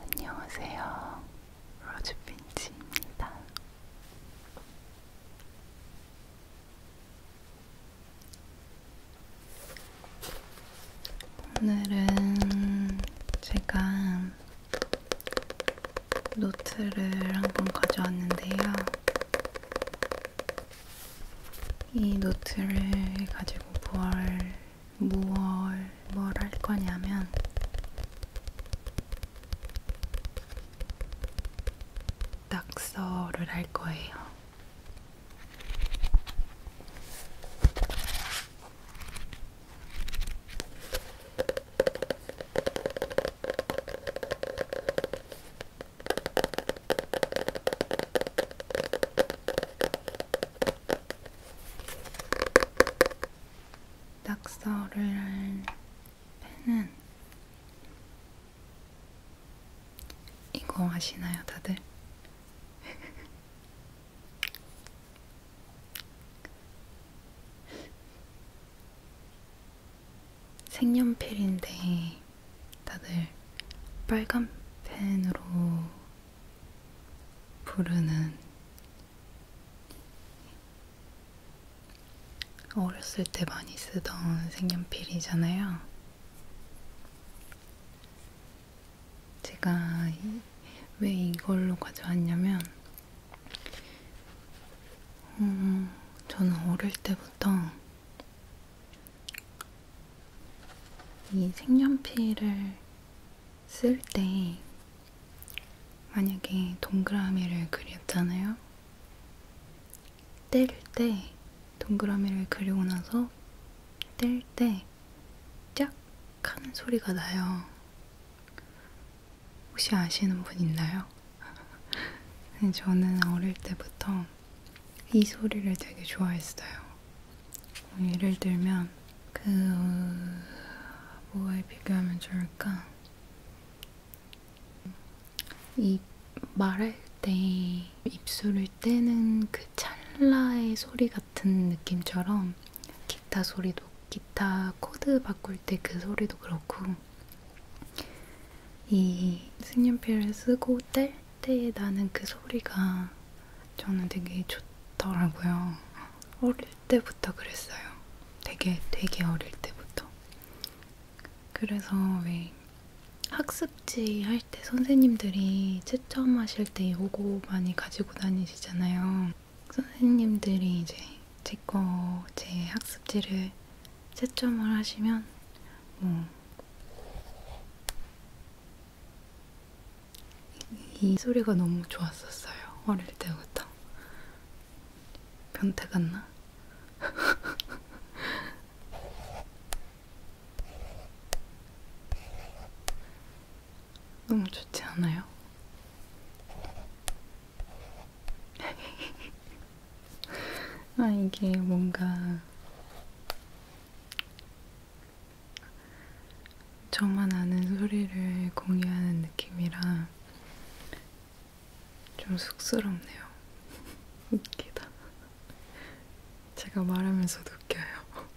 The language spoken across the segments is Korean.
안녕하세요. 로즈핀치입니다. 오늘은 제가 노트를 한번 가져왔는데요. 이 노트를 가지고 뭘 무얼 뭘할 거냐면 낙서를 할 거예요. 낙서를 할 펜은 이거 아시나요, 다들? 색연필인데 다들 빨간 펜으로 부르는 어렸을 때 많이 쓰던 색연필이잖아요. 제가 이, 왜 이걸로 가져왔냐면 음, 저는 어릴 때부터 이 색연필을 쓸 때 만약에 동그라미를 그렸잖아요. 뗄 때 동그라미를 그리고 나서 뗄때짝 하는 소리가 나요. 혹시 아시는 분 있나요? 네, 저는 어릴 때부터 이 소리를 되게 좋아했어요. 예를 들면 그 뭐에 비교하면 좋을까? 이 말할 때 입술을 떼는 그 찰나의 소리 같은 느낌처럼 기타 소리도 기타 코드 바꿀 때 그 소리도 그렇고 이 색연필을 쓰고 뗄때 나는 그 소리가 저는 되게 좋더라고요. 어릴 때부터 그랬어요. 되게 되게 어릴 때부터. 그래서 왜 학습지 할 때 선생님들이 채점하실 때 요거 많이 가지고 다니시잖아요. 선생님들이 이제 제 거제 제 학습지를 채점을 하시면 뭐이 소리가 너무 좋았었어요. 어릴 때부터. 변태 같나? 너무 좋지 않아요? 아, 이게 뭔가 저만 아는 소리를 공유하는 느낌이라 좀 쑥스럽네요. 웃기다. 제가 말하면서도 웃겨요.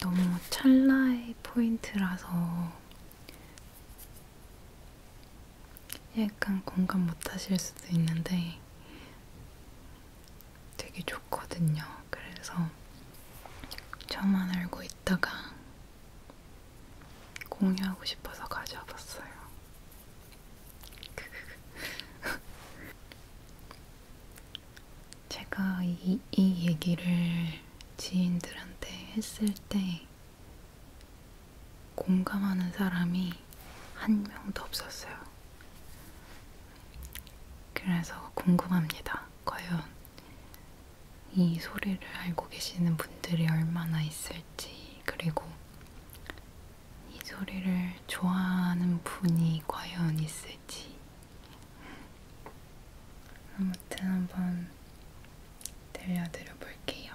너무 찰나의 포인트라서 약간 공감 못 하실 수도 있는데 되게 좋거든요. 그래서 저만 알고 있다가 공유하고 싶어서 가져와 봤어요. 제가 이, 이 얘기를 지인들한테 했을 때 공감하는 사람이 한 명도 없었어요. 그래서 궁금합니다. 과연 이 소리를 알고 계시는 분들이 얼마나 있을지, 그리고 이 소리를 좋아하는 분이 과연 있을지. 아무튼 한번 들려드려 볼게요.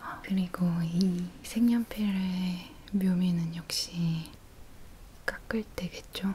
아, 그리고 이 색연필의 묘미는 역시 깎을 때겠죠?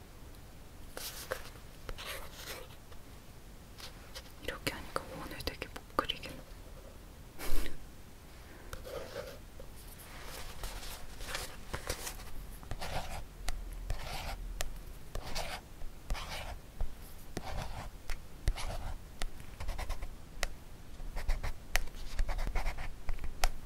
이렇게 하니까 오늘 되게 못 그리겠네.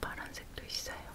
파란색도 있어요.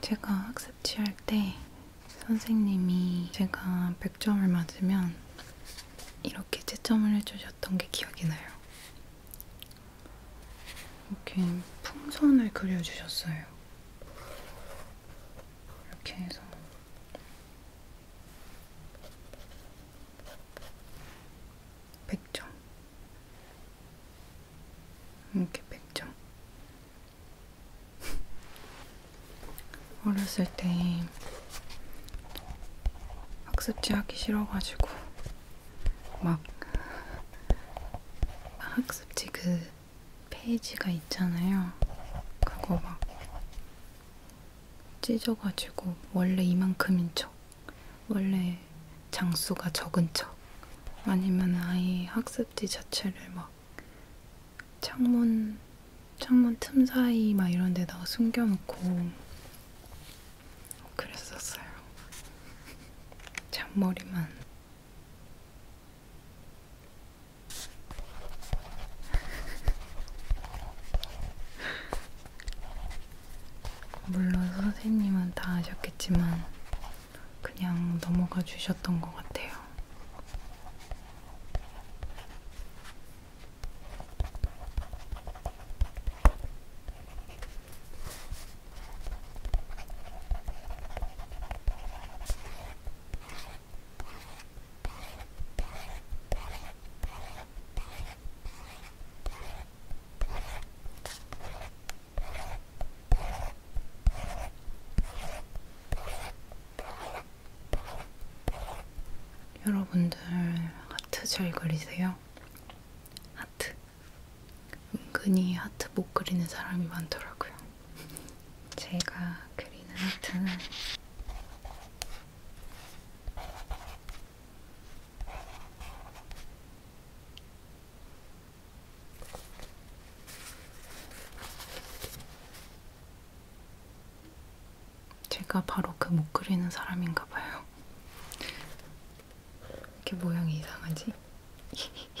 제가 학습 취할 때 선생님이 제가 100점을 맞으면 이렇게 채점을 해주셨던 게 기억이 나요. 이렇게 풍선을 그려주셨어요. 이렇게 해서 100점. 이렇게 100점. 어렸을 때 학습지 하기 싫어가지고 막 학습지 그 페이지가 있잖아요. 그거 막 찢어가지고 원래 이만큼인 척, 원래 장수가 적은 척, 아니면 아예 학습지 자체를 막 창문 창문 틈 사이 막 이런 데다가 숨겨놓고 그랬었어요. 잔머리만. 물론 선생님은 다 아셨겠지만 그냥 넘어가 주셨던 것 같아요. 여러분들 하트 잘 그리세요? 하트. 은근히 하트 못 그리는 사람이 많더라고요. 제가 그리는 하트는 제가 바로 그 못 그리는 사람인가 봐요. 이렇게 모양이 이상하지?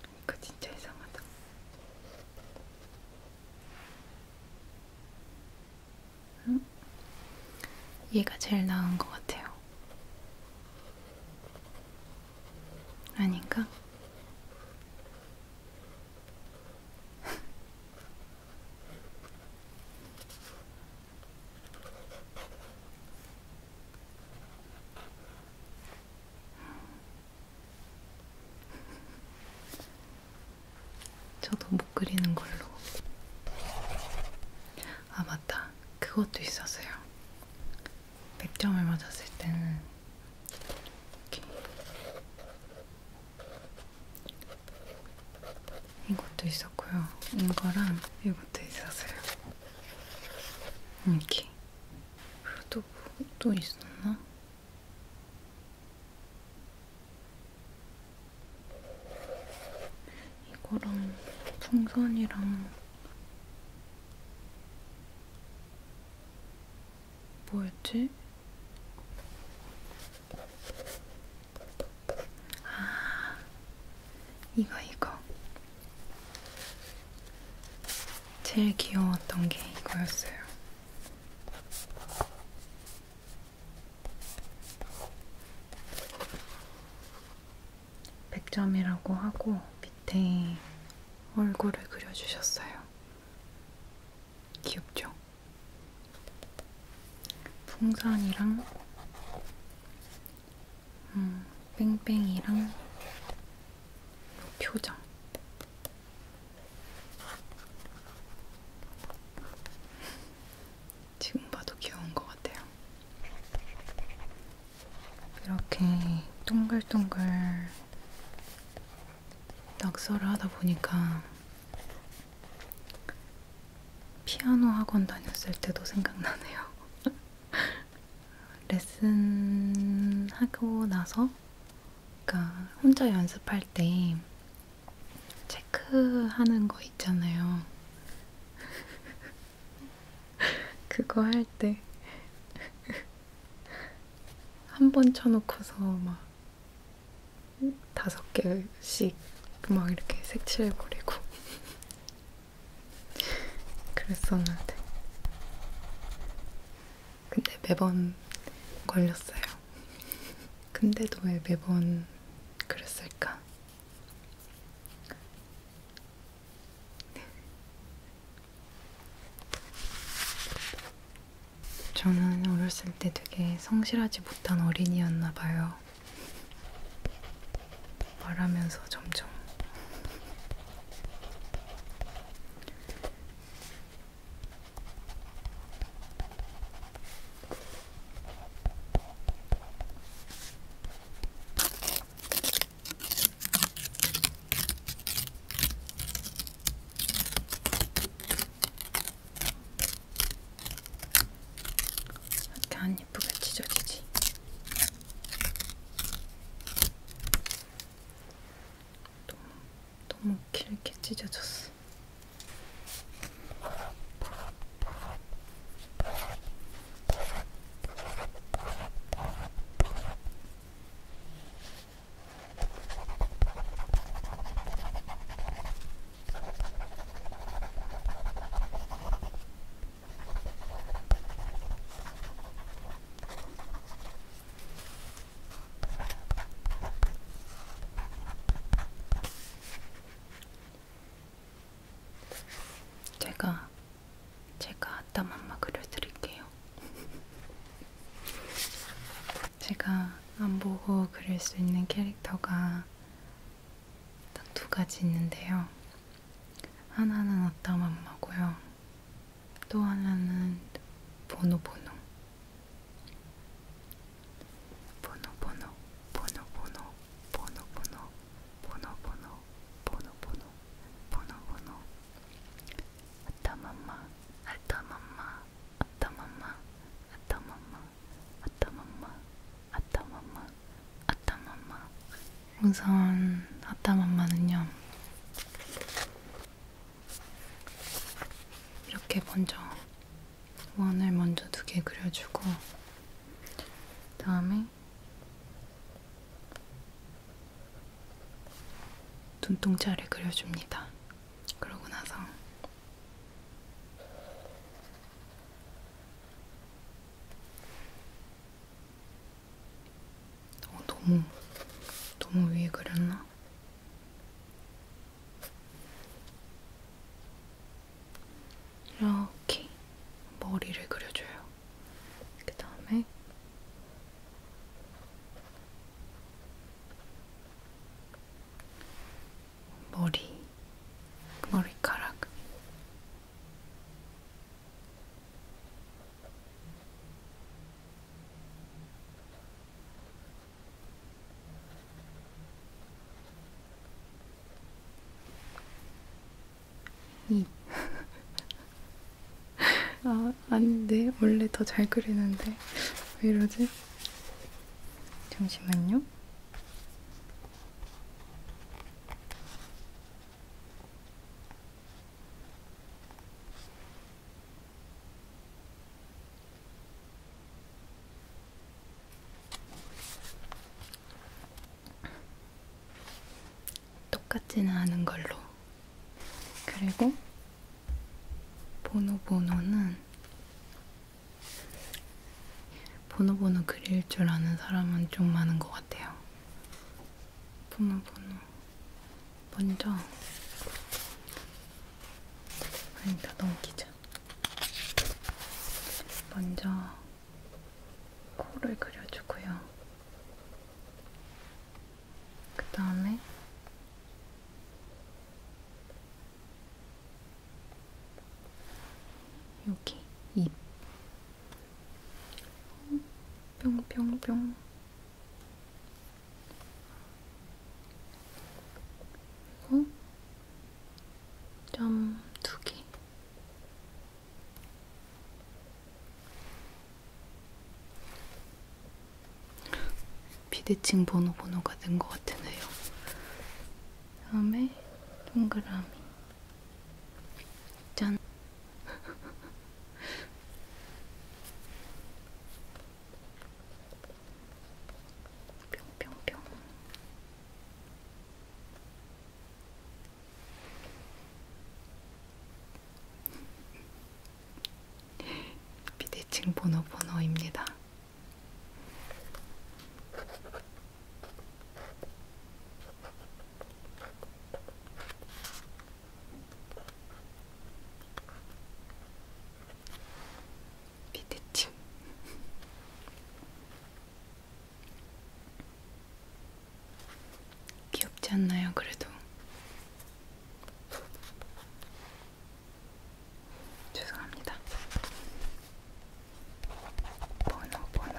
이거 그 진짜 이상하다. 응? 얘가 제일 나은 것 같아요. 아닌가? 저도 못 그리는 걸로. 아, 맞다. 그것도 있었어요. 100점을 맞았을 때는 이렇게. 이것도 있었고요. 이거랑 이것도 있었어요. 음, 이렇게. 그리고 또, 또 있었나? 이거랑 풍선이랑 뭐였지? 아, 이거 이거 제일 귀여웠던 게 이거였어요. 백점이라고 하고 밑에 얼굴을 그려주셨어요. 귀엽죠? 풍선이랑 음, 뺑뺑이랑 표정 지금 봐도 귀여운 것 같아요. 이렇게 동글동글 낙서를 하다 보니까 피아노 학원 다녔을 때도 생각나네요. 레슨 하고 나서 그러니까 혼자 연습할 때 체크하는 거 있잖아요. 그거 할 때 한 번 쳐놓고서 막 다섯 개씩 막 이렇게 색칠해버리고 그랬었는데 근데 매번 걸렸어요. 근데도 왜 매번 그랬을까? 저는 어렸을 때 되게 성실하지 못한 어린이였나 봐요. 말하면서 점점 이렇게 안 예쁘게 찢어지지. 너무, 너무 길게 찢어졌어. 제가 제가 아따 맘마 그려드릴게요. 제가 안 보고 그릴 수 있는 캐릭터가 딱 두 가지 있는데요. 하나는 아따 맘마고요. 또 하나는 보노보노 보노보노 보노보노 보노보노 보노보노 보노보노 보노보노 아따맘마 아따맘마 아따맘마 아따맘마 아따맘마 아따맘마 아따맘마 우선 아따맘마는요 이렇게 먼저 원을 먼저 두 개 그려주고 다음에 눈동자를 그려줍니다. 그러고 나서 어, 너무 너무 위에 그렸나? 이렇게 머리를 그려줘요. 그 다음에 머리, 머리카락. 아, 아닌데 원래 더 잘 그리는데 왜 이러지? 잠시만요. 똑같지는 않은 걸로. 그리고 보노보노는 보노보노 그릴 줄 아는 사람은 좀 많은 것 같아요. 보노보노 먼저 아니다 그러니까 넘기자. 먼저 코를 그려주고요. 그 다음에 여기 입 뿅뿅뿅 그리고 어? 점두 개. 비대칭 번호 번호가 된 것 같으네요. 다음에 동그라미. 짠. 뿅뿅뿅 비대칭 번호 번호입니다. 밑에쯤 귀엽지 않나요? 그래도 죄송합니다. 번호 번호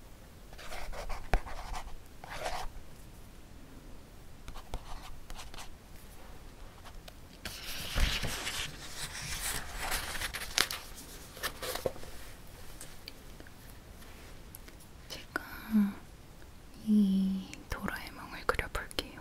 제가 이 도라에몽을 그려볼게요.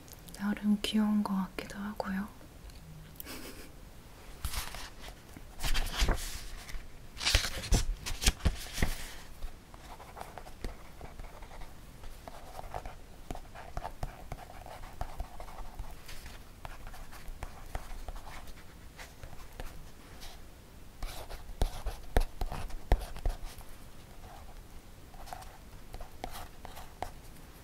나름 귀여운 것 같기도 하고요.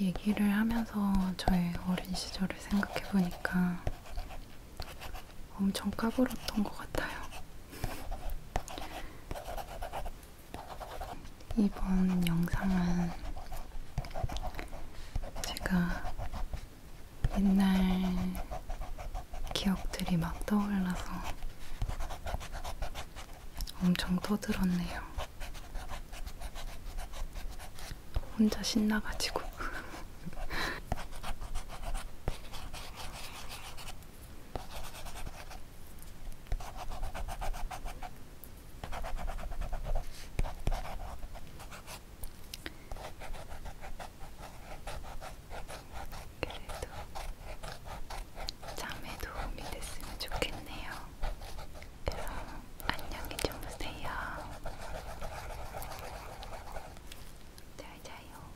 얘기를 하면서 저의 어린 시절을 생각해 보니까 엄청 까불었던 것 같아요. 이번 영상은 제가 옛날 기억들이 막 떠올라서 엄청 떠들었네요. 혼자 신나가지고. 그래도 잠에 도움이 됐으면 좋겠네요. 그럼 안녕히 주무세요. 잘 자요.